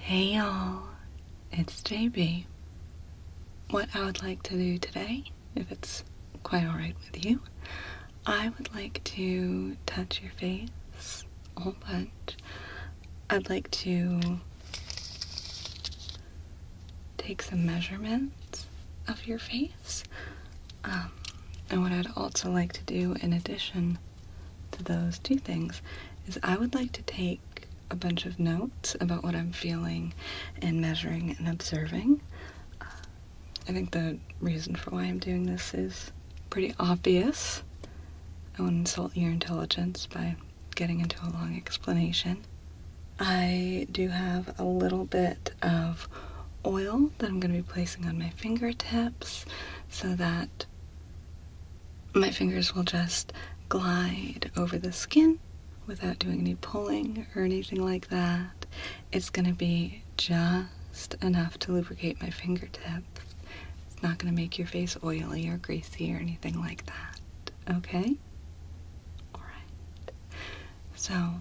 Hey y'all, it's JB. What I would like to do today, if it's quite alright with you, I would like to touch your face a whole bunch. I'd like to take some measurements of your face. Um, and what I'd also like to do in addition to those two things is I would like to take a bunch of notes about what I'm feeling and measuring and observing. Uh, I think the reason for why I'm doing this is pretty obvious. I won't insult your intelligence by getting into a long explanation. I do have a little bit of oil that I'm going to be placing on my fingertips so that my fingers will just glide over the skin without doing any pulling or anything like that. It's going to be just enough to lubricate my fingertips. It's not going to make your face oily or greasy or anything like that. Okay? Alright. So,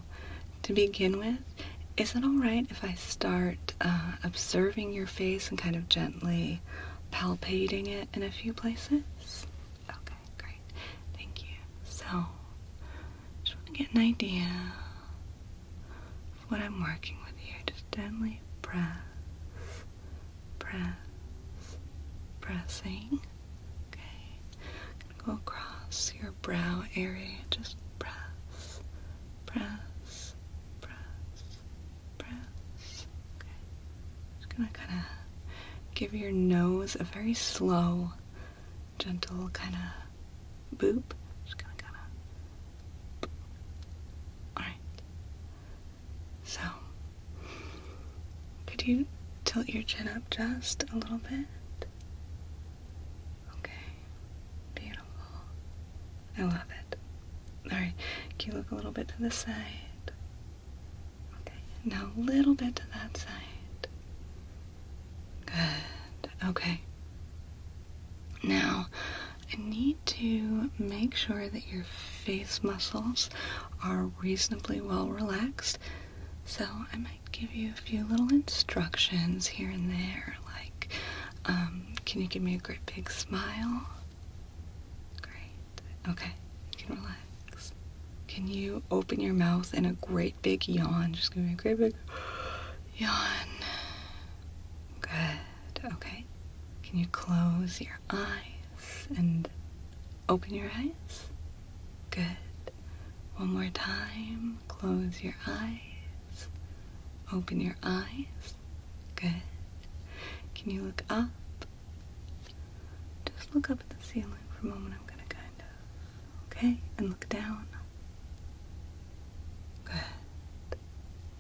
to begin with, is it alright if I start uh, observing your face and kind of gently palpating it in a few places? Okay great. Thank you. So, just want to get an idea of what I'm working with here. Just gently press, press, pressing. Okay. go across your brow area. Just press, press, press, press. Okay. Just gonna kind of give your nose a very slow, gentle kind of boop. Alright. So, could you tilt your chin up just a little bit? Okay. Beautiful. I love it. Alright, can you look a little bit to the side? Okay, now a little bit to that side. Good, okay. Now, I need to make sure that your face muscles are reasonably well relaxed. So, I might give you a few little instructions here and there, like, um, can you give me a great big smile? Great. Okay, you can relax. Can you open your mouth in a great big yawn? Just give me a great big yawn. Good, okay. Can you close your eyes and open your eyes? Good. One more time. Close your eyes. Open your eyes. Good. Can you look up just look up at the ceiling for a moment. I'm going to kind of, okay, and look down. Good.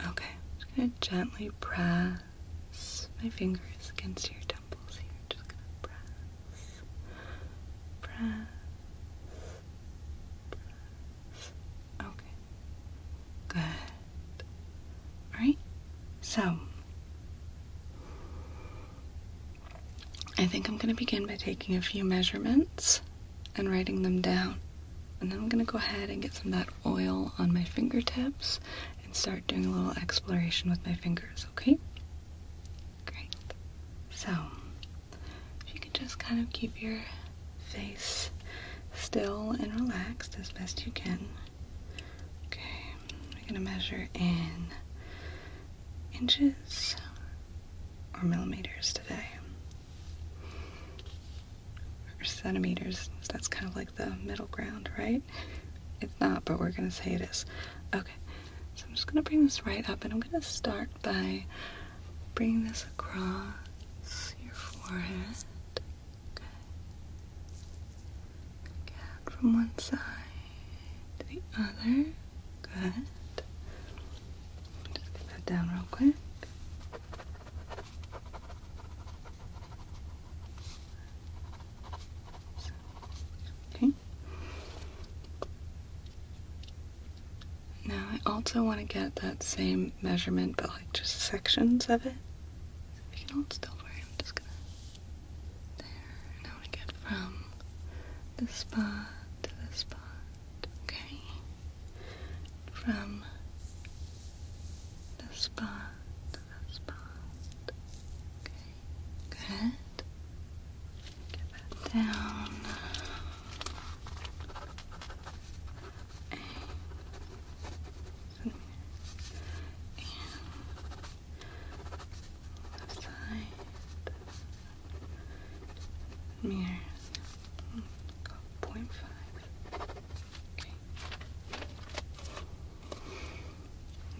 Okay, just going to gently press my fingers against your temples here. Just going to press, press. Okay. Good. Alright? So, I think I'm going to begin by taking a few measurements and writing them down. And then I'm going to go ahead and get some of that oil on my fingertips and start doing a little exploration with my fingers, okay? Great. So, if you could just kind of keep your face still and relaxed as best you can. Okay, we're gonna measure in inches or millimeters today. Or centimeters, that's kind of like the middle ground, right? It's not, but we're gonna say it is. Okay, so I'm just gonna bring this right up and I'm gonna start by bringing this across your forehead. Cat from one side to the other. Good. Just put that down real quick. Okay. Now I also want to get that same measurement, but like just sections of it. If can hold still for me, just gonna there. Now we get from the spot to the spot. Okay. From the spot to the spot. Okay. Good. Get that down. Okay. And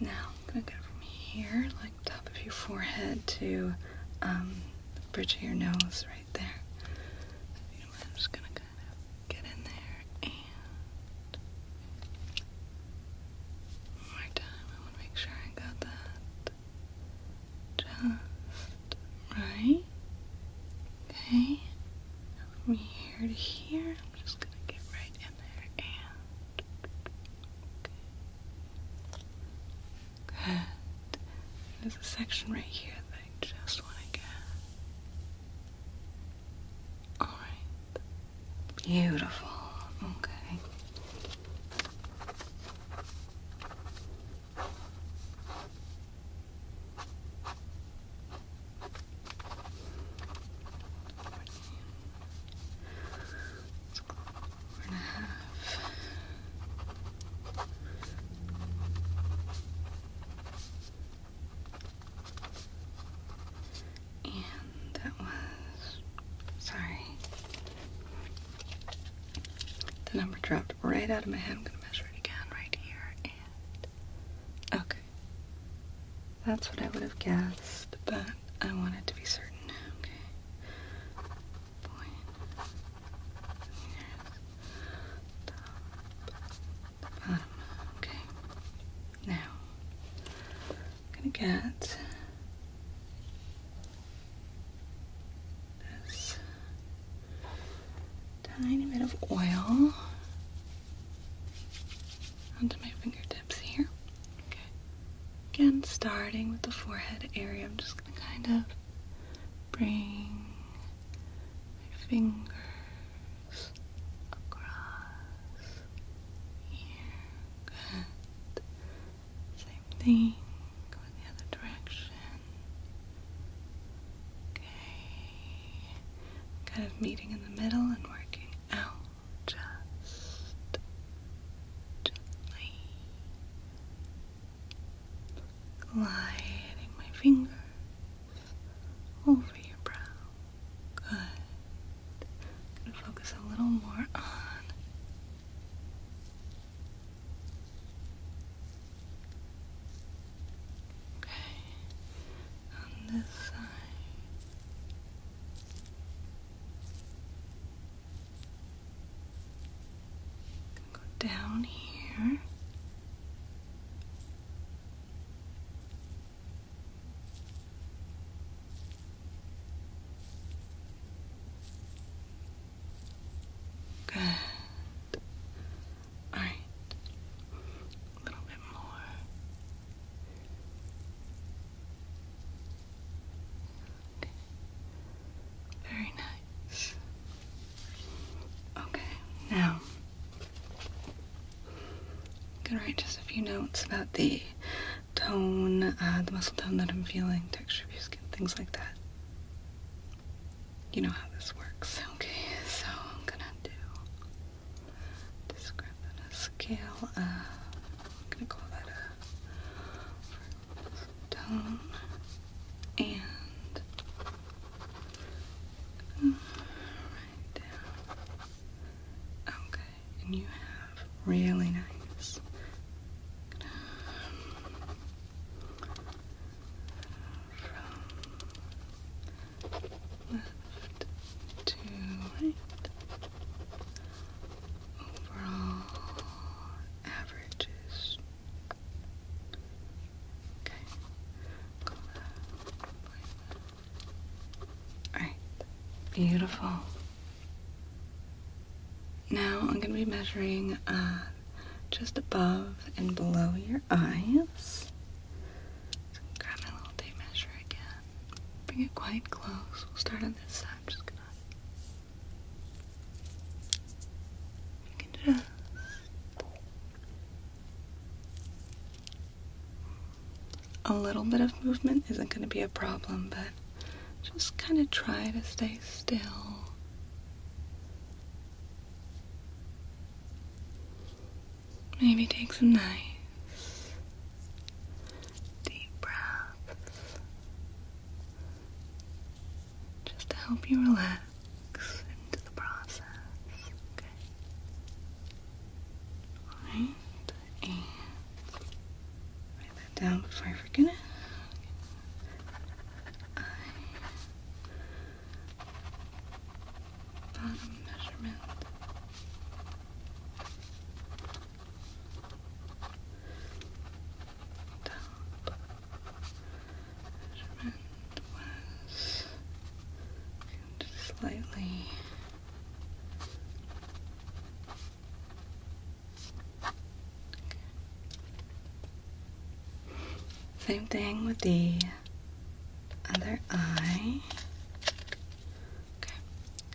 now, I'm gonna go from here, like top of your forehead to um, the bridge of your nose right there. I'm just gonna get in there more time, I want to make sure I got that just right. Okay, from here to here, I'm just gonna get right in there and There's a section right here that I just want to get. Alright. Beautiful. Okay. Four and a half. And that was, sorry, the number dropped right out of my head. I'm going to measure it again right here. And, okay. That's what I would have guessed, but I wanted to be certain. Okay. Okay. Now, I'm going to get this tiny bit of oil onto my fingertips here. Okay. Again, starting with the forehead area, I'm just going to kind of bring my finger across here. Same thing. Go in the other direction. Okay. Kind of meeting in the middle and working out just gently. Gliding my fingers over your brow. Good. gonna focus a little more on Okay. On this side. Go down here. Good. All right. A little bit more. Very nice. Okay, now I'm gonna write just a few notes about the tone, uh, the muscle tone that I'm feeling, texture of your skin, things like that. You know how this works. Okay, so I'm gonna do just grab on a scale I'm gonna call that a tone and mm, Right down Okay, and you have really nice. From um, left to right. Overall averages. Okay. Alright, beautiful. Now I'm going to be measuring uh, just above and below your eyes. grab my little tape measure again. Bring it quite close. We'll start on this side. just gonna. You can just a little bit of movement isn't going to be a problem, but just kind of try to stay still. Maybe take some nice deep breaths just to help you relax. Into the process, okay? Alright and write that down before I forget it. bottom measurement. Top measurement slightly same thing with the other eye. Okay,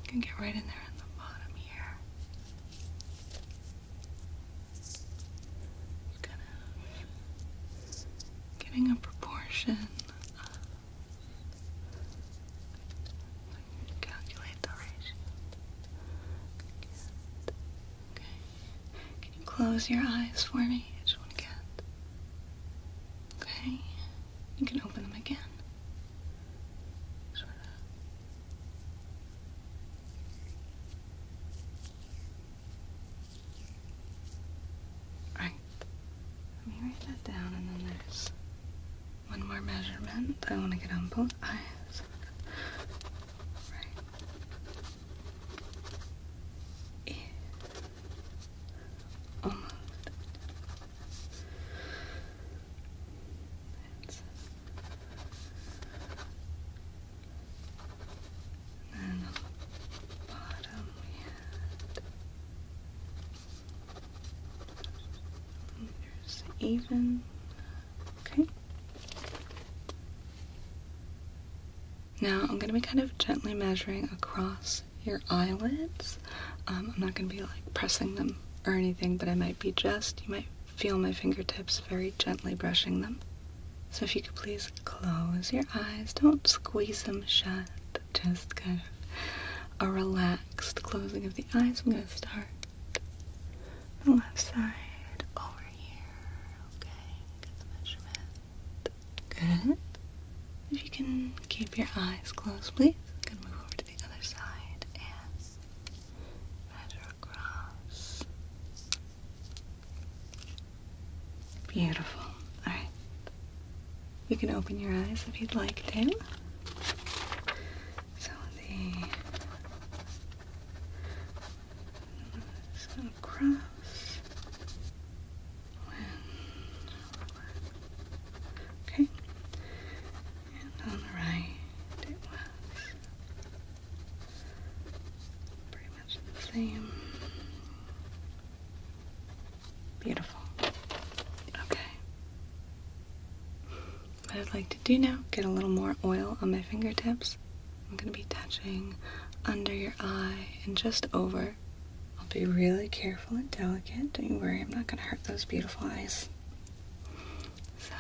can get right in there on the bottom here. kind of getting a proportion Calculate the ratio. Okay. Can you close your eyes for me? just want Okay. You can open them again. Alright, let me write that down, and then there's one more measurement I want to get on both eyes. Right. Almost. then bottom there's even. Okay. Now I'm going to be kind of gently measuring across your eyelids. Um, I'm not going to be like pressing them or anything, but I might be just, you might feel my fingertips very gently brushing them. So if you could please close your eyes, don't squeeze them shut just kind of a relaxed closing of the eyes. I'm going to start the left side over here. Okay, get the measurement. Good. If you can keep your eyes closed, please. going to move over to the other side and measure across. Beautiful. All right. You can open your eyes if you'd like to. So the so Okay. And on the right it was pretty much the same. Beautiful. Okay. What I'd like to do now, get a little more oil on my fingertips. I'm going to be touching under your eye and just over. I'll be really careful and delicate. Don't you worry, I'm not going to hurt those beautiful eyes. So,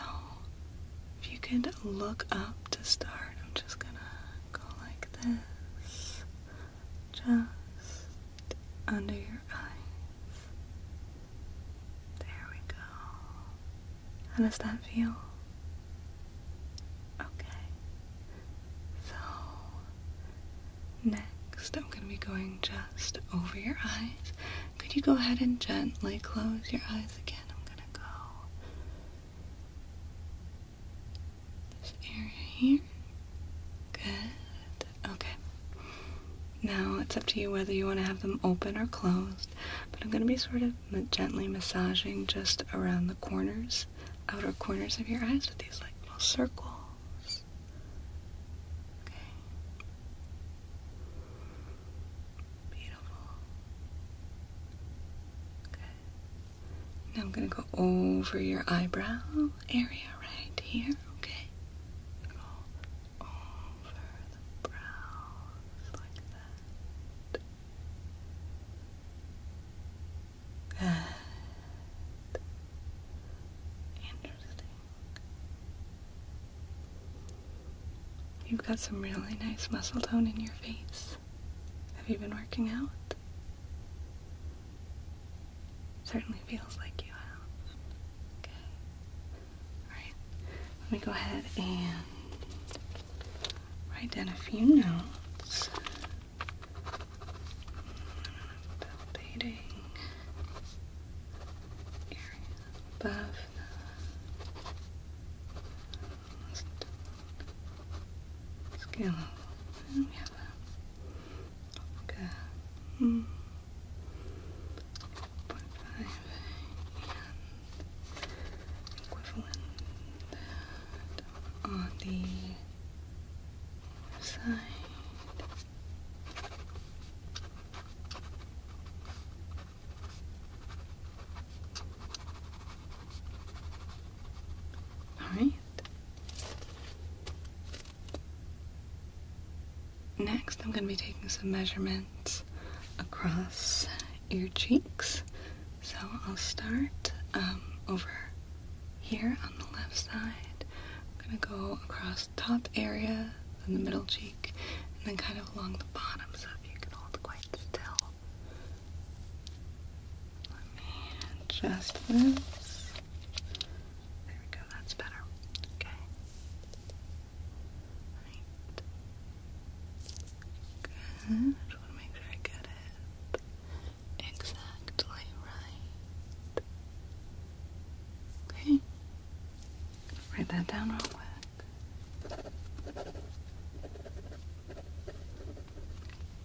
if you could look up to start, I'm just going to go like this just under your eyes. There we go. How does that feel? Okay. So, next I'm going to be going just over your eyes. Could you go ahead and gently close your eyes again? I'm going to go this area here. Good. Okay. Now it's up to you whether you want to have them open or closed, but I'm going to be sort of gently massaging just around the corners, outer corners of your eyes with these like little circles. Okay. Beautiful. Okay. Now I'm going to go over your eyebrows area right here, okay? Interesting. You've got some really nice muscle tone in your face. Have you been working out? Certainly feels like you have. Okay. Alright. Let me go ahead and write down a few notes about dating area above the scale. Okay. Mm. 4.5 and equivalent on the side. All right. Next, I'm going to be taking some measurements across your cheeks. So I'll start um, over here on the left side. I'm going to go across the top area, then the middle cheek, and then kind of along the bottom. So if you can hold quite still. Let me adjust this. There we go, that's better. Okay. Good. I just want to make sure I get it exactly right. Okay. Write that down real quick.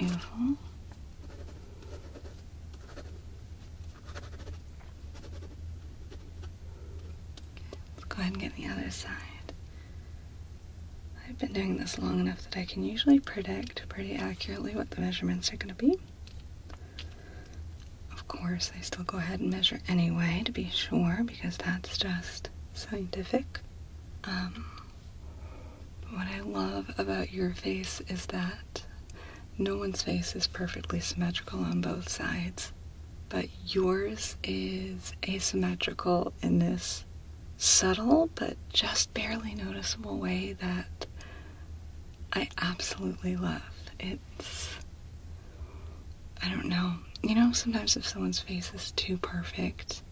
Let's go ahead and get the other side. I've been doing this long enough that I can usually predict pretty accurately what the measurements are going to be. Of course, I still go ahead and measure anyway to be sure because that's just scientific. Um, what I love about your face is that no one's face is perfectly symmetrical on both sides, but yours is asymmetrical in this subtle but just barely noticeable way that I absolutely love. It's. I don't know. You know, sometimes if someone's face is too perfect,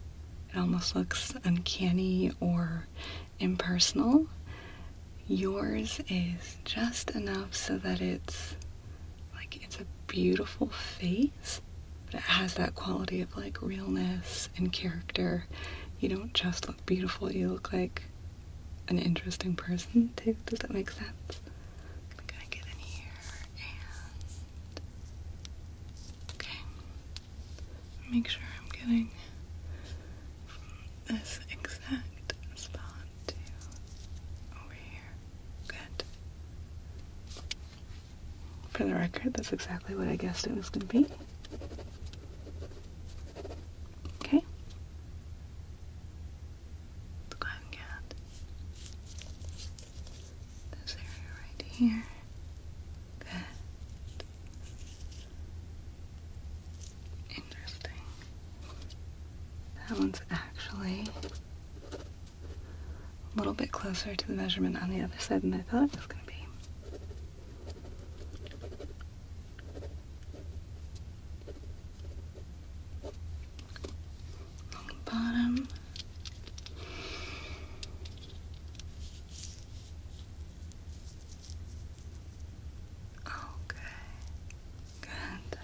it almost looks uncanny or impersonal. Yours is just enough so that it's like it's a beautiful face, but it has that quality of like realness and character. You don't just look beautiful, you look like an interesting person too. Does that make sense? I'm gonna get in here okay make sure I'm getting this exact spot to over here. Good. For the record, that's exactly what I guessed it was going to be. Okay. Let's go this area right here. Good. Interesting. That one's actually a little bit closer to the measurement on the other side than I thought it was going to be. Bottom. Okay, good.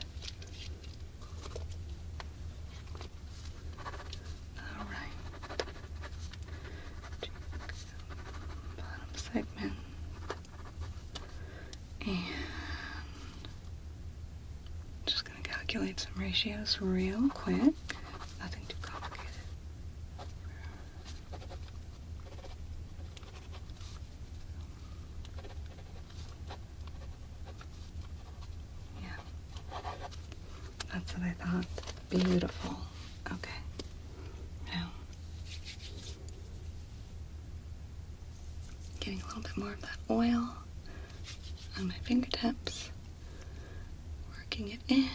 All right. bottom segment and just gonna calculate some ratios real quick. Nothing too complicated. Yeah. That's what I thought. Beautiful. Okay. Now, getting a little bit more of that oil on my fingertips, working it in,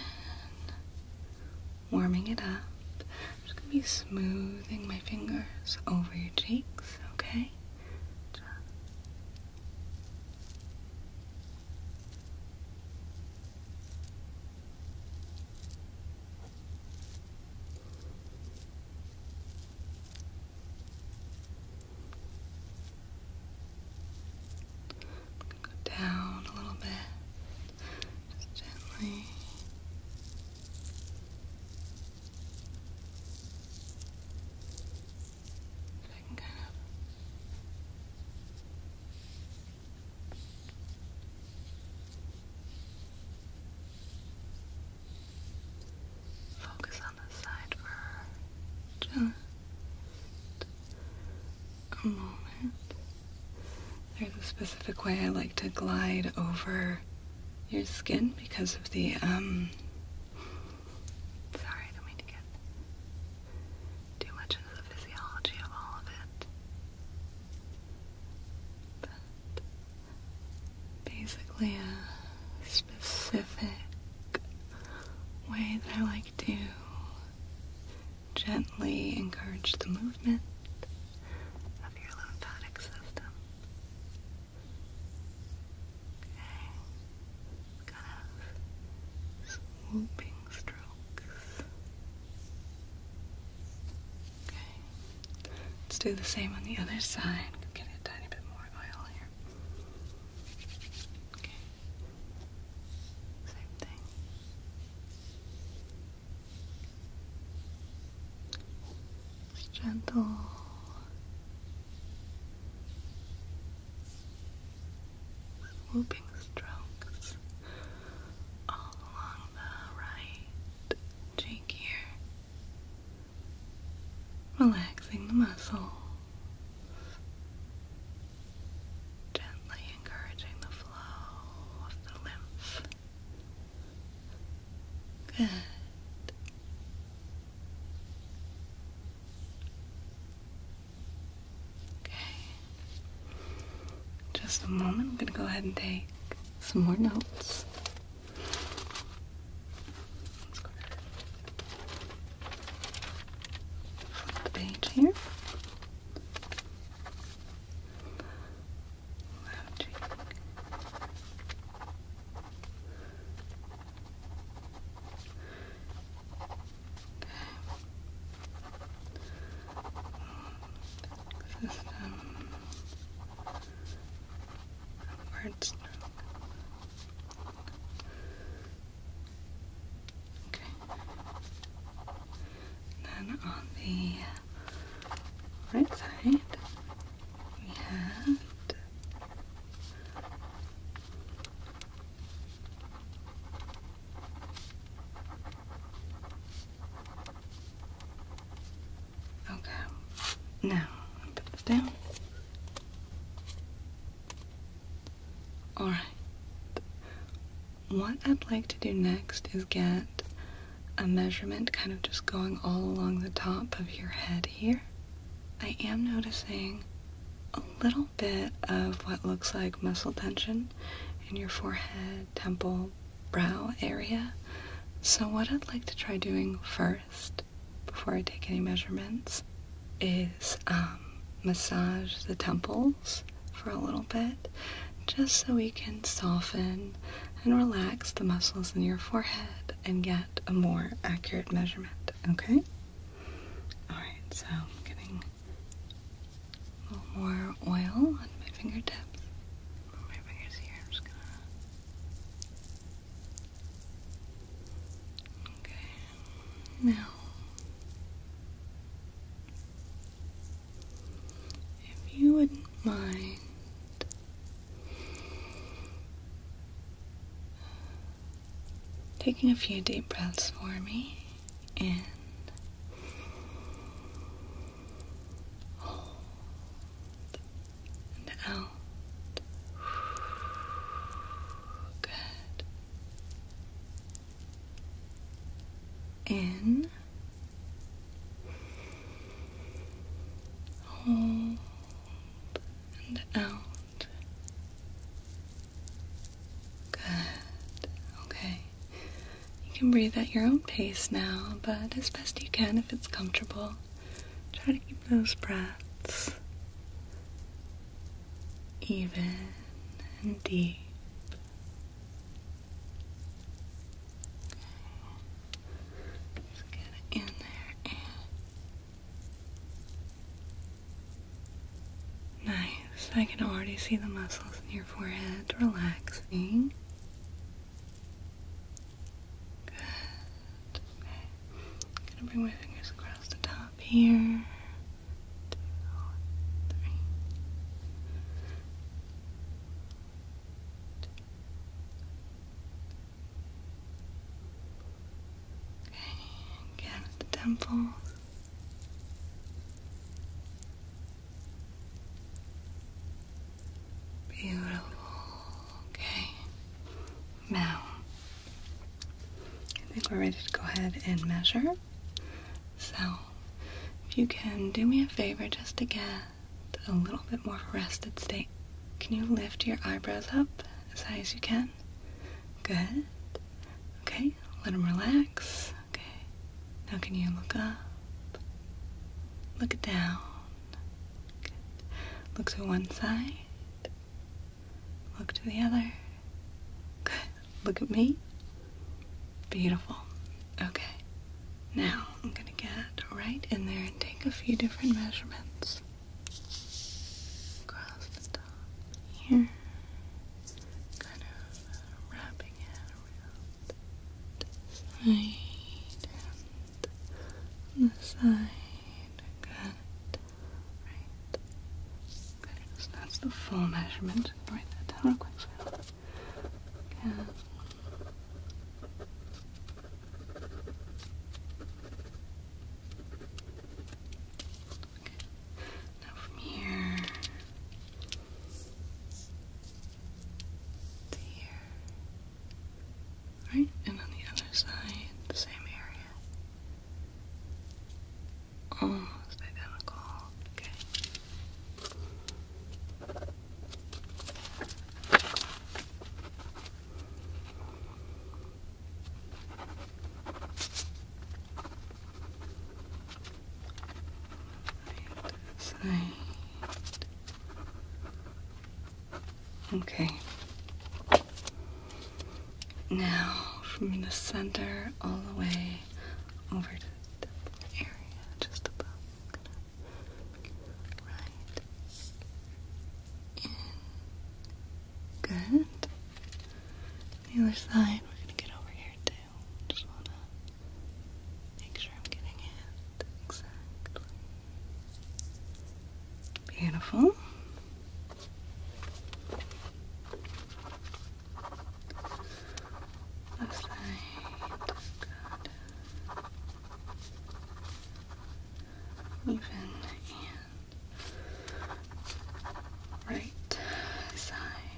warming it up. I'm just gonna be smoothing my fingers over your cheeks, okay? down a little bit just gently. I can kind of focus on the side for just there's a specific way I like to glide over your skin because of the, um, sorry, I don't mean to get too much into the physiology of all of it. But basically a specific way that I like to gently encourage the movement of your lymphatic system. Okay, kind of swooping strokes. Okay, let's do the same on the other side. Get a tiny bit more oil here. Okay. Same thing. gentle. Swooping strokes all along the right cheek here, relaxing the muscles gently encouraging the flow of the lymph. Good. Okay. Just a moment. I'm going to go ahead and take some more notes. let the page here. Lounging. Okay. System. Upward stroke. Okay. And then on the right side, we had Okay. Now, put this down. Alright. What I'd like to do next is get a measurement kind of just going all along the top of your head here. I am noticing a little bit of what looks like muscle tension in your forehead, temple, brow area. So what I'd like to try doing first, before I take any measurements, is um, massage the temples for a little bit just so we can soften and relax the muscles in your forehead and get a more accurate measurement, okay? Alright, so getting a little more oil on my fingertips. my fingers here, I'm just gonna. Okay, now if you wouldn't mind taking a few deep breaths for me in. Hold and out. Good in, hold, and out. Good. Okay. You can breathe at your own pace now, but as best you can if it's comfortable. Try to keep those breaths even and deep. Just get it in there nice. I can already see the muscles in your forehead relaxing. Good. gonna bring my fingers across the top here two, three. Okay, again the temple. Beautiful. Okay. Now, I think we're ready to go ahead and measure. So if you can, do me a favor just to get a little bit more rested state. Can you lift your eyebrows up as high as you can? Good. Okay, let them relax. Okay. Now can you look up? Look down. Look to one side. Look to the other. Good. Look at me. Beautiful. Okay. Now I'm going to get right in there and take a few different measurements. Across the top here. Kind of wrapping it around this side and the side. Good. Right so that's the full measurement. Write that down real quick. Now from here to here. Right? And on the other side, the same area. Oh, almost identical. Okay. side. Okay. Now from the center all the way over to this area just above. Right. Good. other side, we're gonna get over here too. Just wanna make sure I'm getting it exactly. Beautiful. Left side. Even and right side.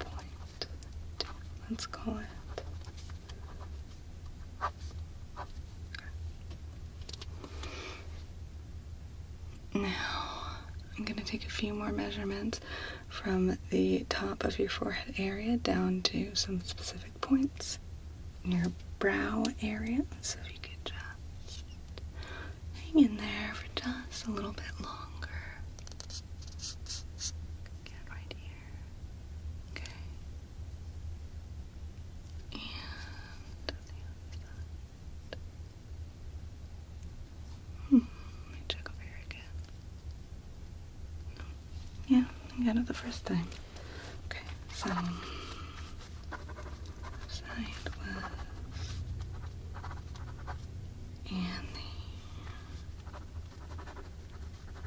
Point two. Let's call it. Now, I'm going to take a few more measurements from the top of your forehead area down to some specific points in your brow area. So if you could just hang in there for just a little bit longer. Get right here. Okay. Hmm, let me check over here again. Yeah, I got it the first time. Okay, so sideways and the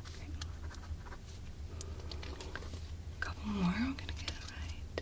okay. couple more. I'm gonna get it right.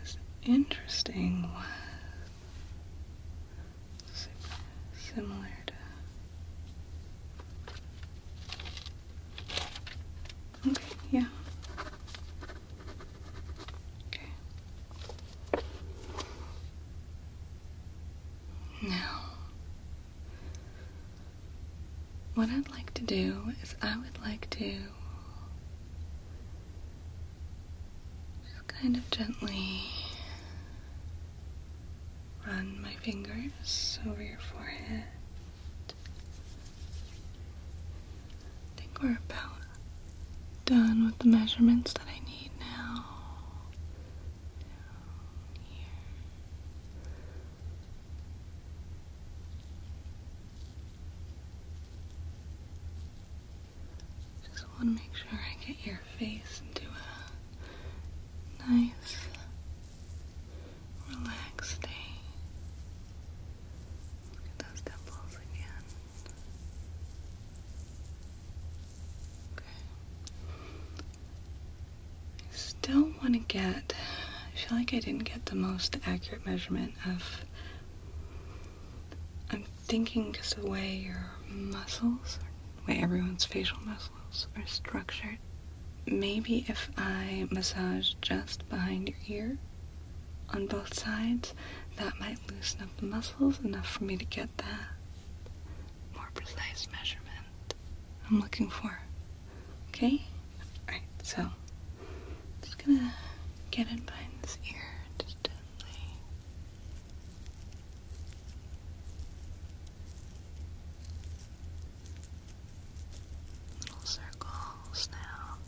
was interesting was similar to. Okay, yeah. Okay. Now, what I'd like to do is I would like to just kind of gently run my fingers over your forehead. I think we're about done with the measurements that I need now here. Just want to make sure I get your face into a nice, relaxed day. Look at those dimples again. I still want to get, I feel like I didn't get the most accurate measurement of, I'm thinking just the way your muscles, the way everyone's facial muscles are structured. Maybe if I massage just behind your ear on both sides, that might loosen up the muscles enough for me to get that more precise measurement I'm looking for. Okay? Alright, so just gonna get in behind this ear just gently. Little circles now.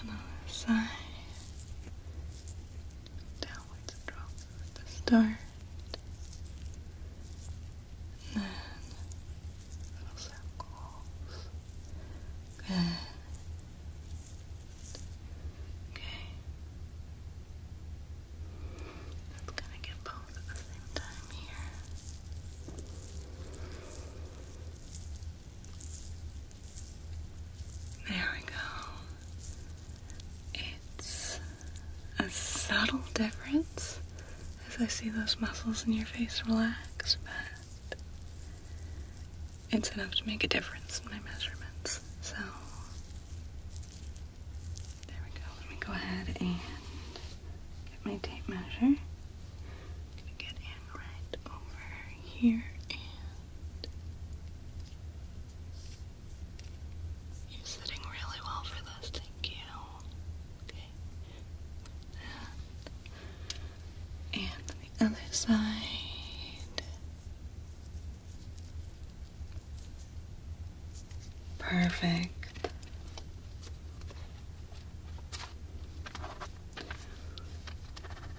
Another side. Downwards drop at the start. And then little circles. Good. Okay. Let's kind get both at the same time here. There we go. It's a subtle difference as I see those muscles in your face relax, but it's enough to make a difference in my measurements. So, there we go. Let me go ahead and get my tape measure get in right over here you're sitting really well for this, thank you. Okay. And the other side. Perfect.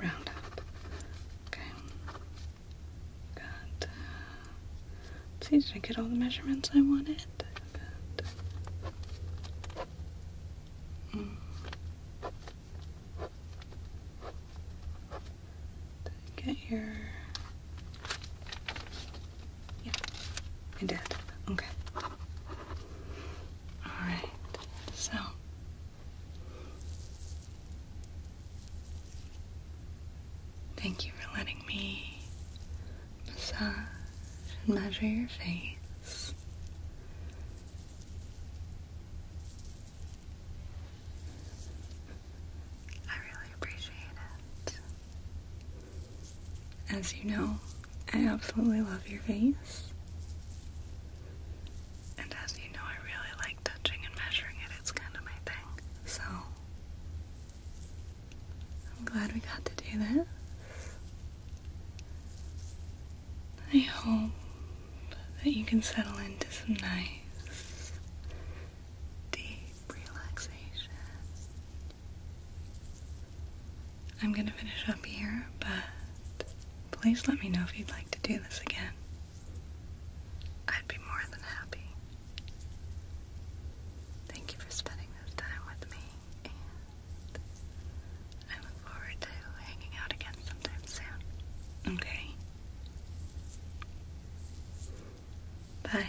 round up. Okay. Good. Uh, see, did I get all the measurements I wanted? Good. Mm. Did I get your... Yeah, I did. Okay. Alright, so Thank you for letting me massage and measure your face. I really appreciate it. As you know, I absolutely love your face. And as you know, I really like touching and measuring it, it's kind of my thing. So, I'm glad we got to do this. I hope that you can settle into some nice, deep relaxation. I'm gonna finish up here, but Please let me know if you'd like to do this again. I'd be more than happy. Thank you for spending this time with me, and I look forward to hanging out again sometime soon. Okay? Bye.